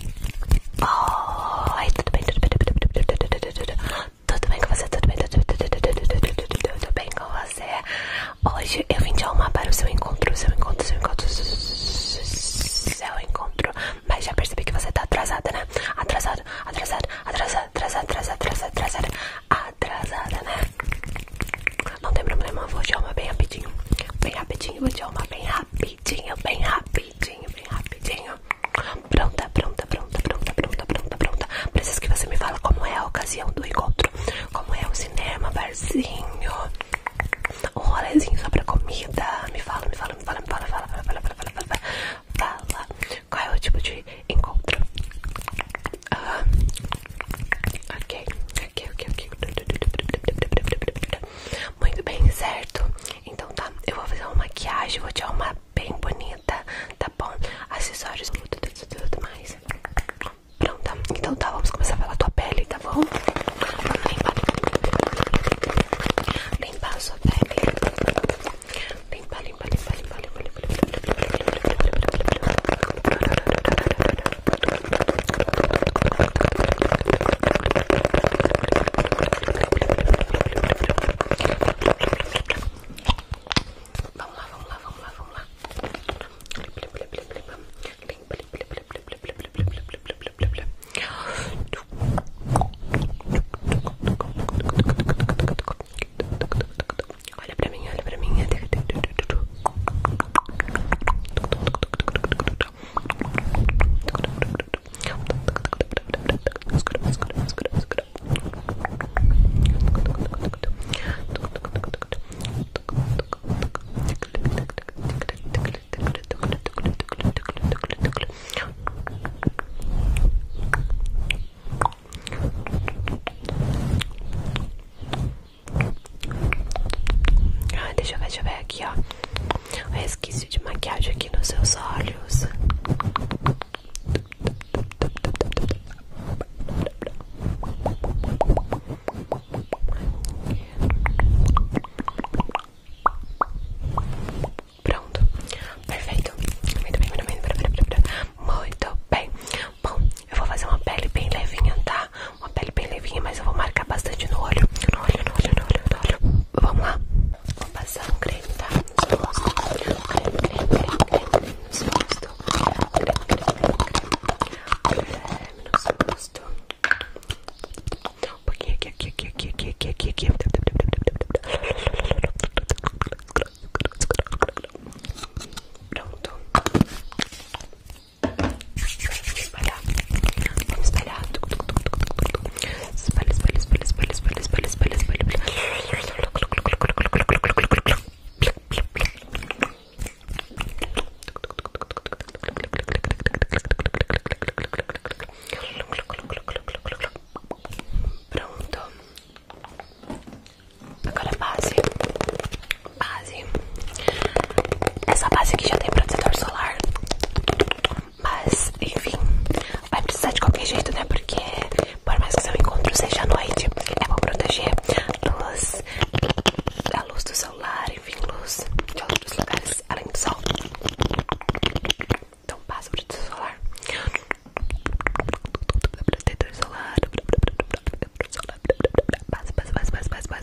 Oi, tudo bem? Tudo bem? com você? Tudo bem? com você? Hoje eu vim te arrumar para o seu encontro, seu encontro, seu encontro, seu encontro. Mas já percebi que você tá atrasada, né? Atrasada, atrasada, atrasada, atrasada, atrasada, atrasada, atrasada, né? Não tem problema, vou te arrumar bem rapidinho. Bem rapidinho, vou te arrumar bem rápido rapidinho, bem rapidinho, bem rapidinho. Pronta, pronta, pronta, pronta, pronta, pronta, pronta. Preciso que você me fala como é a ocasião do encontro, como é o cinema, barzinho, um rolezinho sobre a comida. Me fala, me fala, me fala, me fala, fala, fala, fala, fala, fala, fala. fala. Qual é o tipo de encontro? Ah. ok, ok, ok, ok. Muito bem, certo? Então tá, eu vou fazer uma maquiagem, vou te dar uma bem bonita, tá bom? Acessórios, tudo, tudo, tudo mais. Pronta, então tá, vamos começar pela tua pele, tá bom? Vamos limpar. Limpar a sua pele. Limpar, limpar, limpar, limpar, limpar, limpar, limpar, limpar, limpar, limpar, limpar, Vamos lá, vamos lá, vamos lá, vamos lá. Olha pra mim, olha pra mim. Ah, deixa eu ver, deixa eu ver aqui, ó. o resquício de maquiagem aqui nos seus olhos. Pronto, perfeito. Muito bem, muito bem, muito bem. Bom, eu vou fazer uma pele bem levinha, tá? Uma pele bem levinha, mas eu vou marcar bastante no olho. No olho, no olho, no olho, no olho. Vamos lá. Vou passar um creme, tá? Creme, creme, creme, creme. No rosto. Creme, creme, creme, creme. No rosto. Um pouquinho aqui, aqui, aqui, aqui, aqui, aqui, aqui, aqui. Pronto espalhar. espalha espalha Espalha, espalha, espalha, espalha, espalha, espalha, espalha, espalha. espalha espalha espalha espalha espalha Pronto. Agora base. Base. Essa base aqui já tem protetor solar. Mas, enfim, vai precisar de qualquer jeito, né? Porque, por mais que seu encontro seja à noite, é bom proteger luz, a luz do celular, enfim, luz de outros lugares além do sol. Então, passa o protetor solar. Protetor solar. Passa, passa, passa, passa, passa, passa.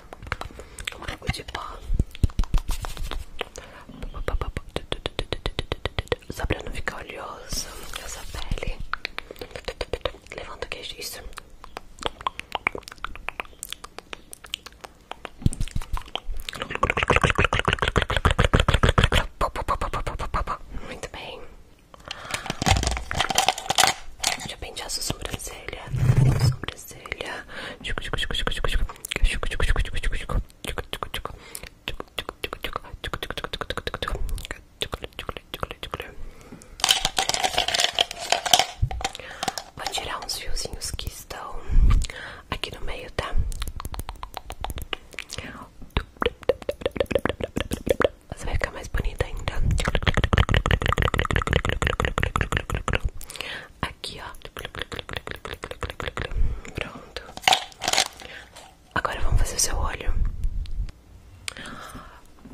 um pouco de pó só pra não ficar oleoso essa pele levanta o queixo isso muito bem Deixa eu pentear sua sobrancelha sobrancelha. Vou tirar uns fiozinhos que estão aqui no meio, tá? Você vai ficar mais bonita ainda. Aqui, ó. Pronto. Agora vamos fazer o seu olho.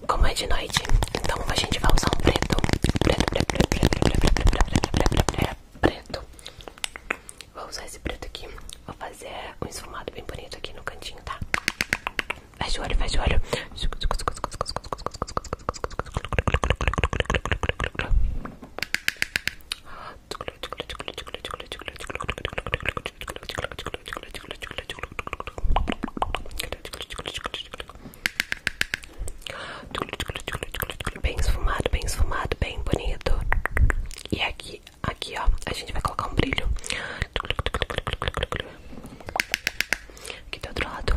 Como é de noite, então a gente vai usar um preto. Preto, preto, preto, preto, preto, preto, preto, preto, preto, Vou usar esse preto aqui. Vou fazer um esfumado bem bonito aqui no cantinho, tá? Fecha o olho, fecha o olho. Bem esfumado, bem esfumado, bem bonito. E aqui, aqui ó, a gente vai colocar um brilho. Aqui do outro lado.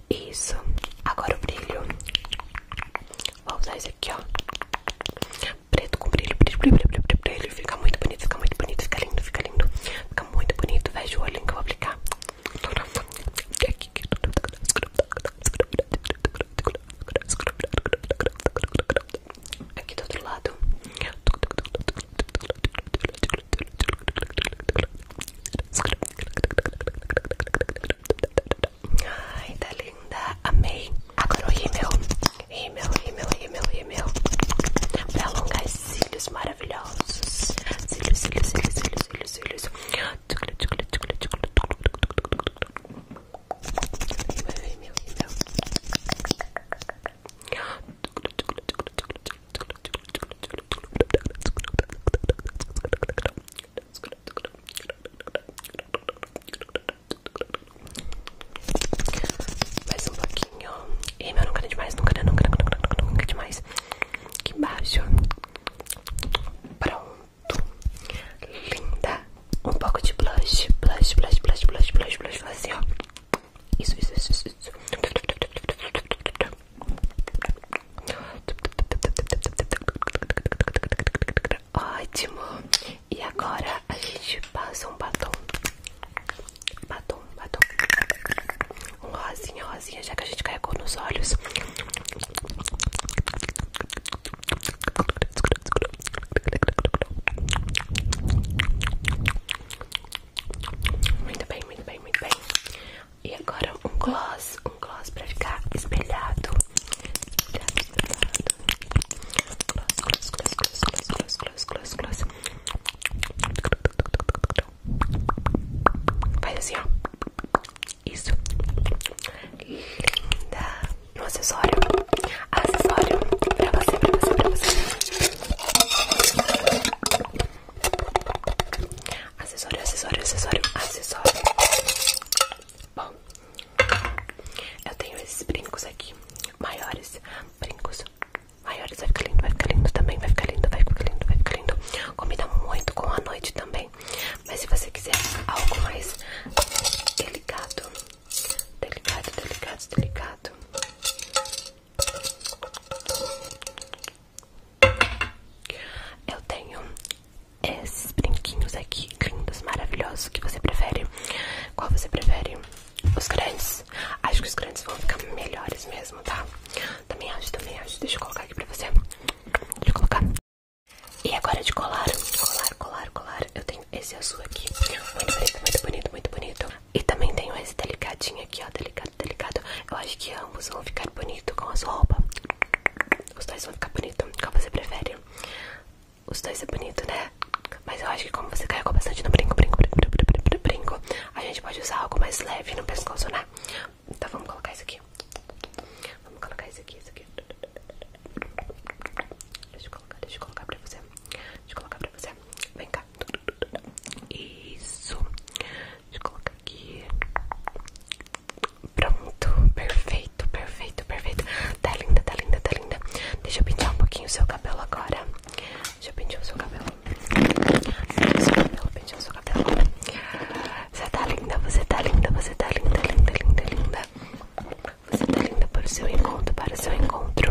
Isso. Agora o brilho. Vou usar esse aqui, ó. Preto com brilho, brilho, brilho, brilho, brilho, brilho. Fica muito bonito, fica muito bonito, fica lindo, fica lindo. Fica muito bonito. Veja o olho que eu vou aplicar. Aqui do outro lado. Ai, tá linda. Amei. Agora o meu, Rímel, meu, rímel, meu, Pra alongar esses cílios maravilhosos. Cílios, cílios, cílios, cílios, cílios, cílios. Rímel, rímel, rímel. Mais um pouquinho. E meu, não nunca demais, nunca, nunca, nunca, nunca, nunca demais. que baixo Pronto. Linda. Um pouco de blush. Blush, blush, blush, blush, blush, blush. Faz ó. Isso, isso, isso, isso. Ótimo. E agora a gente passa um batom. Batom, batom. Um rosinha, rosinha, já que a gente carregou nos olhos. Muito bem, muito bem, muito bem. E agora um gloss, um gloss pra ficar espelhado. Espelhado, espelhado. Gloss, gloss, gloss, gloss, gloss, gloss, gloss, gloss. Faz assim, ó. Isso. Linda. um acessório. Acessório pra você, pra você, pra você. Acessório, acessório, acessório, acessório. Bom, eu tenho esses brincos aqui, maiores brincos. Maiores, vai ficar lindo, vai ficar lindo também, vai ficar lindo, vai ficar lindo, vai ficar lindo. Combina muito com a noite também. Mas se você quiser algo mais delicado, delicado, delicado, delicado. Eu tenho esses brinquinhos aqui lindos, maravilhosos. O que você prefere? Qual você prefere? Os grandes? Acho que os grandes vão ficar melhores mesmo, tá? Também acho, também acho. Deixa eu colocar aqui pra você. Deixa eu colocar. E agora de colar, colar, colar, colar. Eu tenho esse azul aqui. Muito bonito, muito bonito, muito bonito. E também tenho esse delicadinho aqui, ó. Delicado, delicado. Eu acho que ambos vão ficar bonito com a sua roupa. Os dois vão ficar bonito. Qual você prefere? Os dois é bonito, né? Mas eu acho que como você carregou bastante no brinco, brinco, brinco, brinco, brinco, brinco a gente pode usar algo mais leve no pescoço, né? Então vamos colocar isso aqui. Vamos colocar isso aqui, isso aqui. Deixa eu colocar, deixa eu colocar pra você. Deixa eu colocar pra você. Vem cá. Isso. Deixa eu colocar aqui. Pronto, perfeito, perfeito, perfeito. Tá linda, tá linda, tá linda. Deixa eu pentear um pouquinho o seu cabelo agora. Deixa eu pentear o seu cabelo. Pentear o seu cabelo, pentear o seu cabelo. Você tá linda, você tá linda, você tá linda, linda, linda, linda. Você tá linda para o seu encontro, para o seu encontro.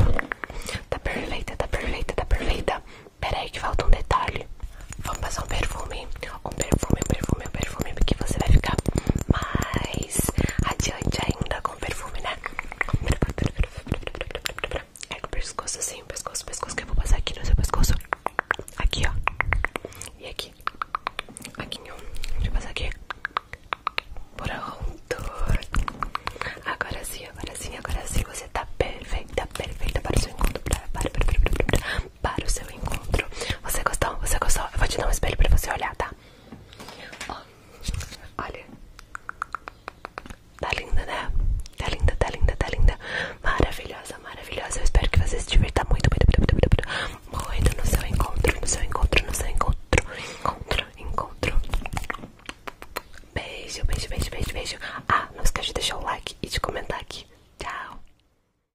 Tá perfeita, tá perfeita, tá perfeita. Pera aí que falta um detalhe. Vamos passar um perfume com perfume, perfume, perfume, porque você vai ficar mais adiante ainda com perfume, né? É com o pescoço assim, o pescoço, o pescoço, que eu vou passar aqui no seu pescoço. Aqui, ó. E aqui. Aqui, ó. Deixa eu passar aqui. Pronto. Agora sim, agora sim, agora sim. Você tá perfeita, perfeita para o seu encontro. Para, para, para, para, para, para, para o seu encontro. Você gostou? Você gostou? Eu vou te dar um espelho pra você olhar, tá? Ó, olha. Tá linda, né? Tá linda, tá linda, tá linda. Maravilhosa, maravilhosa. Eu espero que você se divirta muito, muito, muito, muito, muito no seu encontro, no seu encontro, no seu encontro, encontro, encontro. Beijo, beijo, beijo, beijo, beijo. Ah, não esquece de deixar o like e de comentar aqui. Tchau.